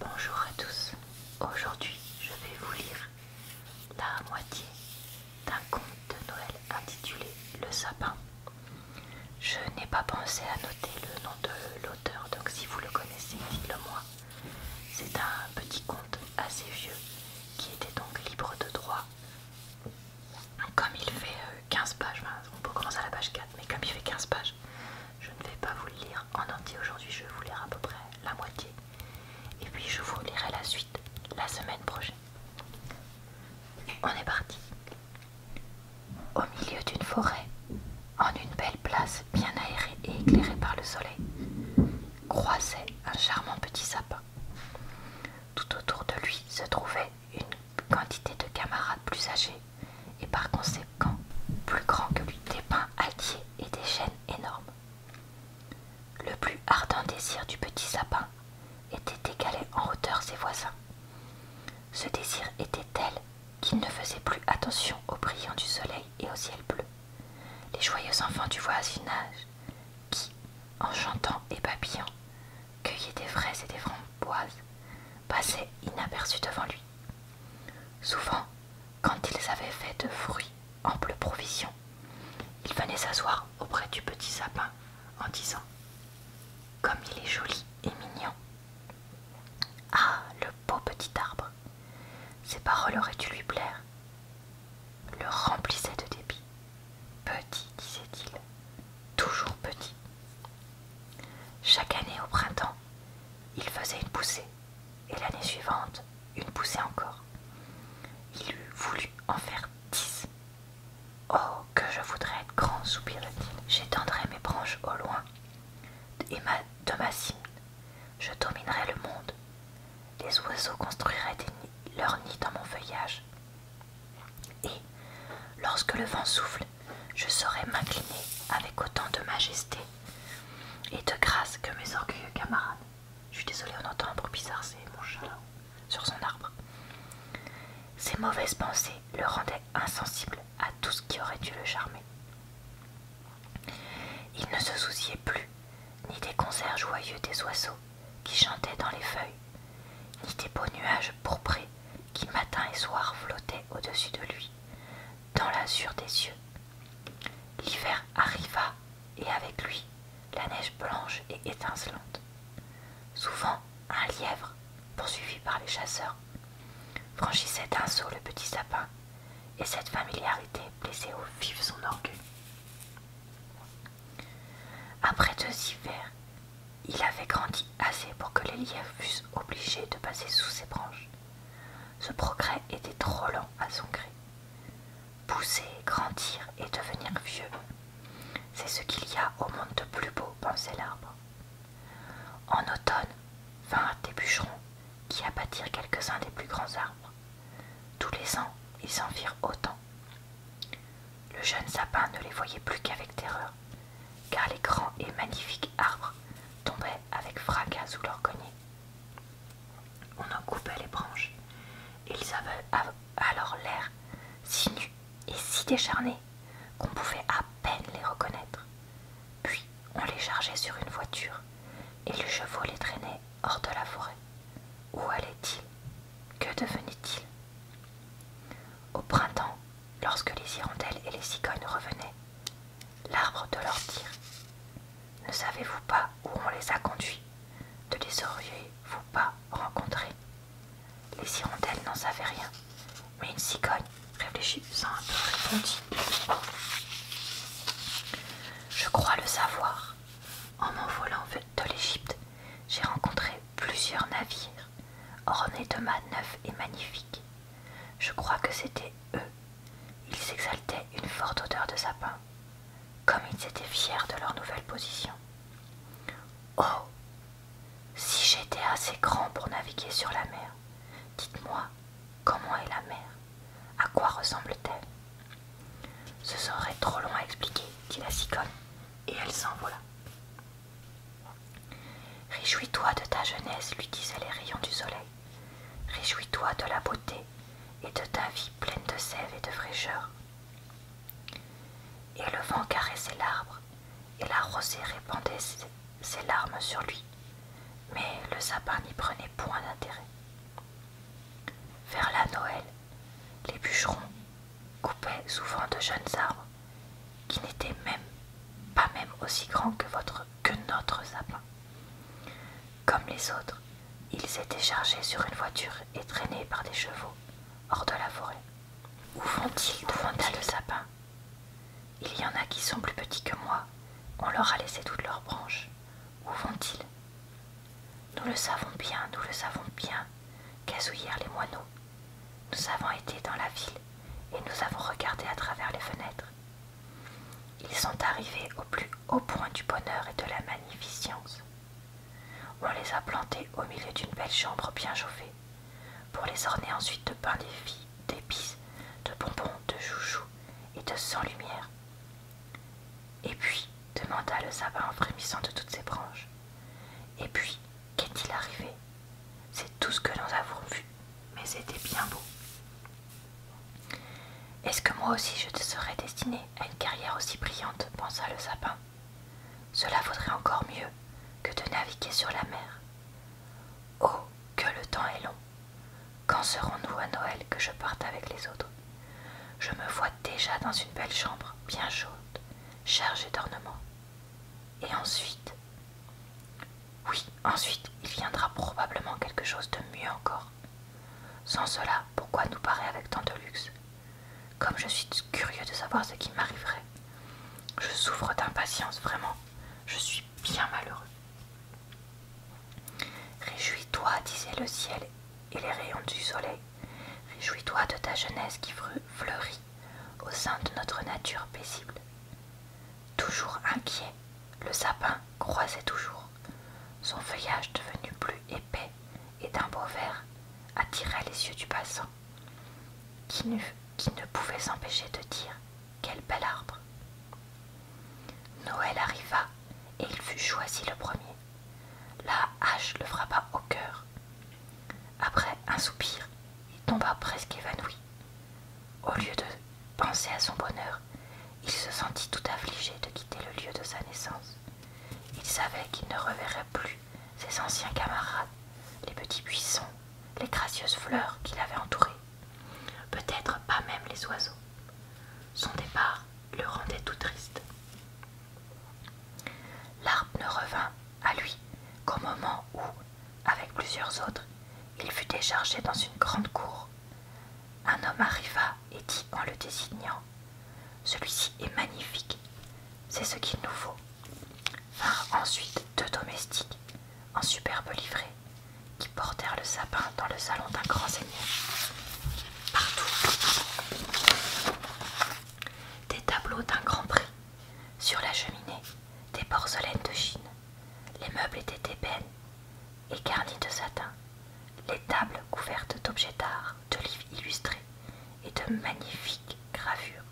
Bonjour à tous, aujourd'hui je vais vous lire la moitié d'un conte de Noël intitulé Le sapin. Je n'ai pas pensé à noter le nom de l'auteur, donc si vous le connaissez, dites-le moi. C'est un petit conte assez vieux qui était donc libre de droit. Comme il fait 15 euh, pages, on peut commencer à la page 4, mais comme il fait 15 pages, je ne vais pas vous le lire en entier aujourd'hui, je vais vous lire à peu près la moitié. Et puis je vous lirai la suite la semaine prochaine. On est parti. Au milieu d'une forêt, en une belle place bien aérée et éclairée par le soleil, croisait un charmant petit sapin. Tout autour de lui se trouvait une quantité de camarades plus âgés et par conséquent plus grand que lui, des pins altiers et des chênes énormes. Le plus ardent désir du petit sapin était d'égaler en hauteur ses voisins. Ce désir était tel qu'il ne faisait plus attention aux brillants du soleil et au ciel bleu. Les joyeux enfants du voisinage, qui, en chantant et babillant, cueillaient des fraises et des framboises, passaient inaperçus devant lui. Souvent, quand ils avaient fait de fruits ample provision, ils venaient s'asseoir auprès du petit sapin en disant Comme il est joli et mignon. Ah, le beau petit arbre Ces paroles auraient dû lui plaire. Le remplissaient de dépit. « Petit, disait-il, toujours petit. Chaque année au printemps, il faisait une poussée, et l'année suivante, une poussée encore. Il eût voulu en faire dix. Oh, que je voudrais être grand, soupira-t-il. J'étendrai mes branches au loin, et de ma cime, je dominerai le monde. Les oiseaux construiraient leurs nids dans mon feuillage. Et, lorsque le vent souffle, je saurais m'incliner avec autant de majesté et de grâce que mes orgueilleux camarades. Je suis désolée, on entend un bruit bizarre, c'est mon chat sur son arbre. Ses mauvaises pensées le rendaient insensible à tout ce qui aurait dû le charmer. Il ne se souciait plus ni des concerts joyeux des oiseaux qui chantaient dans les feuilles, ni des beaux nuages pourprés qui matin et soir flottait au-dessus de lui, dans l'azur des cieux. L'hiver arriva, et avec lui la neige blanche et étincelante. Souvent, un lièvre, poursuivi par les chasseurs, franchissait d'un saut le petit sapin, et cette familiarité blessait au vif son orgueil. Après deux hivers, il avait grandi assez pour que les lièvres fussent obligés de passer sous ses branches. Ce progrès était trop lent à son gré. Pousser, grandir et devenir vieux, c'est ce qu'il y a au monde de plus beau, pensait l'arbre. En automne, vinrent des bûcherons qui abattirent quelques-uns des plus grands arbres. Tous les ans, ils en firent autant. Le jeune sapin ne les voyait plus qu'avec terreur, car les grands et magnifiques arbres tombaient avec fracas sous leurs cognés. On en coupait les branches. Ils avaient alors l'air si nus et si décharnés qu'on pouvait à peine les reconnaître. Puis on les chargeait sur une voiture et les chevaux les traînaient hors de la forêt. Où allaient-ils Que devenaient-ils au printemps, lorsque les hirondelles et les cigognes revenaient, l'arbre de leur dire Ne savez-vous pas où on les a conduits De les auriez-vous pas rencontrés Les hirondelles n'en savaient rien, mais une cigogne, réfléchissant un peu, répondit Je crois le savoir. En m'envolant de l'Égypte, j'ai rencontré plusieurs navires ornés de mâts neufs et magnifiques. Je crois que c'était eux. Ils exaltaient une forte odeur de sapin, comme ils étaient fiers de leur nouvelle position. Oh Si j'étais assez grand pour naviguer sur la mer, dites-moi, comment est la mer À quoi ressemble-t-elle Ce serait trop long à expliquer, dit la siconne, et elle s'envola. Réjouis-toi de ta jeunesse, lui disaient les rayons du soleil. Réjouis-toi de la beauté et de ta vie pleine de sève et de fraîcheur. Et le vent caressait l'arbre, et la rosée répandait ses larmes sur lui, mais le sapin n'y prenait point d'intérêt. Vers la Noël, les bûcherons coupaient souvent de jeunes arbres qui n'était même pas même aussi grand que, votre, que notre sapin. Comme les autres, ils étaient chargés sur une voiture et traînés par des chevaux hors de la forêt. Où vont-ils demanda le sapin. Il y en a qui sont plus petits que moi. On leur a laissé toutes leurs branches. Où vont-ils Nous le savons bien, nous le savons bien, gazouillèrent les moineaux. Nous avons été dans la ville et nous avons regardé à travers les fenêtres. Ils sont arrivés au plus haut point du bonheur et de la magnificence. On les a plantés au milieu d'une belle chambre bien chauffée, pour les orner ensuite de pain d'épices, de bonbons, de joujoux et de sans lumière. Et puis, demanda le sabbat en frémissant de toutes ses branches. Et puis, Qu'est-il arrivé C'est tout ce que nous avons vu, mais c'était bien beau. Est-ce que moi aussi je te serais destinée à une carrière aussi brillante pensa le sapin. Cela vaudrait encore mieux que de naviguer sur la mer. Oh, que le temps est long. Quand serons-nous à Noël que je parte avec les autres Je me vois déjà dans une belle chambre bien chaude, chargée d'ornements. Et ensuite Oui, ensuite, il viendra probablement quelque chose de mieux encore. Sans cela, pourquoi nous parer avec tant de luxe Comme je suis curieux de savoir ce qui m'arriverait. Je souffre d'impatience, vraiment. Je suis bien malheureux. Réjouis-toi, disait le ciel et les rayons du soleil. Réjouis-toi de ta jeunesse qui fleurit au sein de notre nature paisible. Toujours inquiet, le sapin croisait toujours. Son feuillage devenu plus épais et d'un beau vert attirait les yeux du passant, qui qui ne pouvait s'empêcher de dire Quel bel arbre Noël arriva et il fut choisi le premier. La hache le frappa au cœur. Après un soupir, il tomba presque évanoui. Au lieu de penser à son bonheur, il se sentit tout affligé de quitter le lieu de sa naissance. Il savait qu'il ne reverrait plus ses anciens camarades, les petits buissons, les gracieuses fleurs qui l'avaient entouré, peut-être pas même les oiseaux. Son départ le rendait tout triste. L'arbre ne revint à lui qu'au moment où, avec plusieurs autres, il fut déchargé dans une grande cour. Un homme arriva et dit en le désignant Celui-ci est magnifique, c'est ce qu'il nous faut. Vinrent ensuite deux domestiques, en superbe livrée, qui portèrent le sapin dans le salon d'un grand seigneur. Partout, des tableaux d'un grand prix sur la cheminée, des porcelaines de Chine. Les meubles étaient d'ébène et garnis de satin. Les tables couvertes d'objets d'art, de livres illustrés et de magnifiques gravures.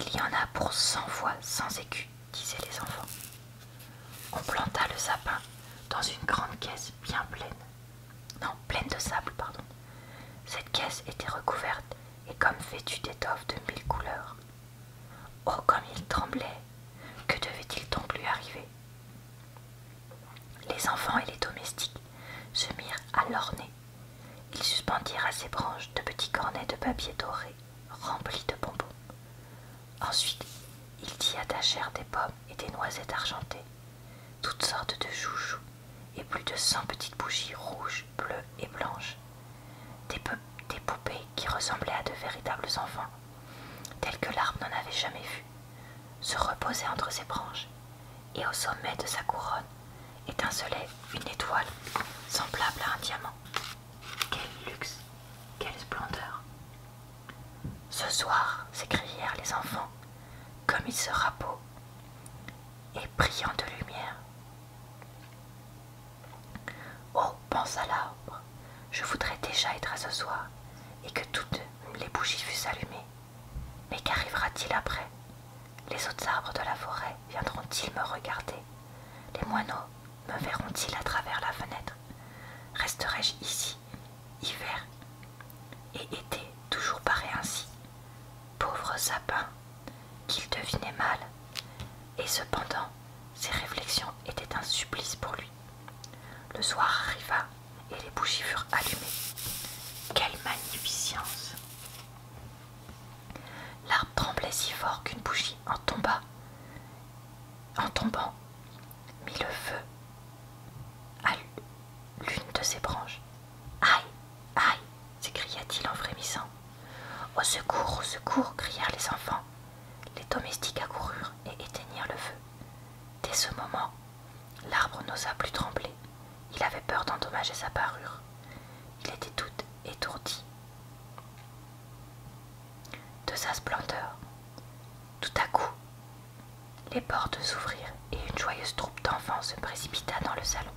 Il y en a pour cent fois sans écus, disaient les enfants. On planta le sapin dans une grande caisse bien pleine, non, pleine de sable, pardon. Cette caisse était recouverte et comme vêtue d'étoffes de mille couleurs. Oh, comme il tremblait Que devait-il donc lui arriver Les enfants et les domestiques se mirent à l'orner. Ils suspendirent à ses branches de petits cornets de papier doré remplis de bonbons. Ensuite, ils y attachèrent des pommes et des noisettes argentées, toutes sortes de joujoux et plus de cent petites bougies rouges, bleues et blanches. Des, poupées qui ressemblaient à de véritables enfants, tels que l'arbre n'en avait jamais vu, se reposaient entre ses branches, et au sommet de sa couronne étincelait une étoile semblable à un diamant. Quel luxe, quelle splendeur. Ce soir, s'écrièrent les enfants comme il sera beau et brillant de lumière. Oh, pensa l'arbre, je voudrais déjà être à ce soir et que toutes les bougies fussent allumées. Mais qu'arrivera-t-il après Les autres arbres de la forêt viendront-ils me regarder Les moineaux me verront-ils à travers la fenêtre Resterai-je ici hiver et était toujours paré ainsi, pauvre sapin, qu'il devinait mal, et cependant ses réflexions étaient un supplice pour lui. Le soir arriva et les bougies furent allumées. Quelle magnificence L'arbre tremblait si fort qu'une bougie en tomba. En tombant, mit le feu à l'une de ses branches. Aïe, aïe s'écria-t-il en frémissant. Au secours, au secours crièrent les enfants. Les domestiques accoururent et éteignirent le feu. Dès ce moment, l'arbre n'osa plus trembler. Il avait peur d'endommager sa parure. Il était tout étourdi de sa splendeur. Tout à coup, les portes s'ouvrirent et une joyeuse troupe d'enfants se précipita dans le salon.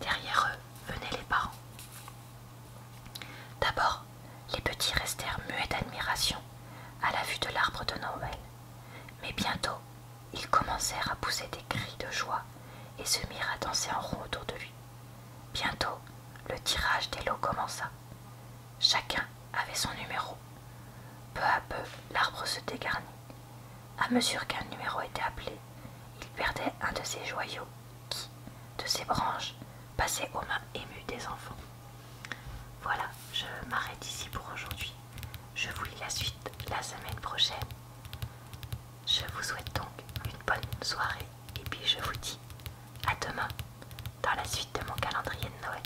Derrière eux venaient les parents. D'abord, les petits restèrent muets d'admiration à la vue de l'arbre de Noël. Mais bientôt, ils commencèrent à pousser des cris de joie et se mirent à danser en rond autour de lui. Bientôt, le tirage des lots commença. Chacun avait son numéro peu à peu, l'arbre se dégarnit. À mesure qu'un numéro était appelé, il perdait un de ses joyaux qui, de ses branches, passait aux mains émues des enfants. Voilà, je m'arrête ici pour aujourd'hui. Je vous lis la suite la semaine prochaine. Je vous souhaite donc une bonne soirée et puis je vous dis à demain dans la suite de mon calendrier de Noël.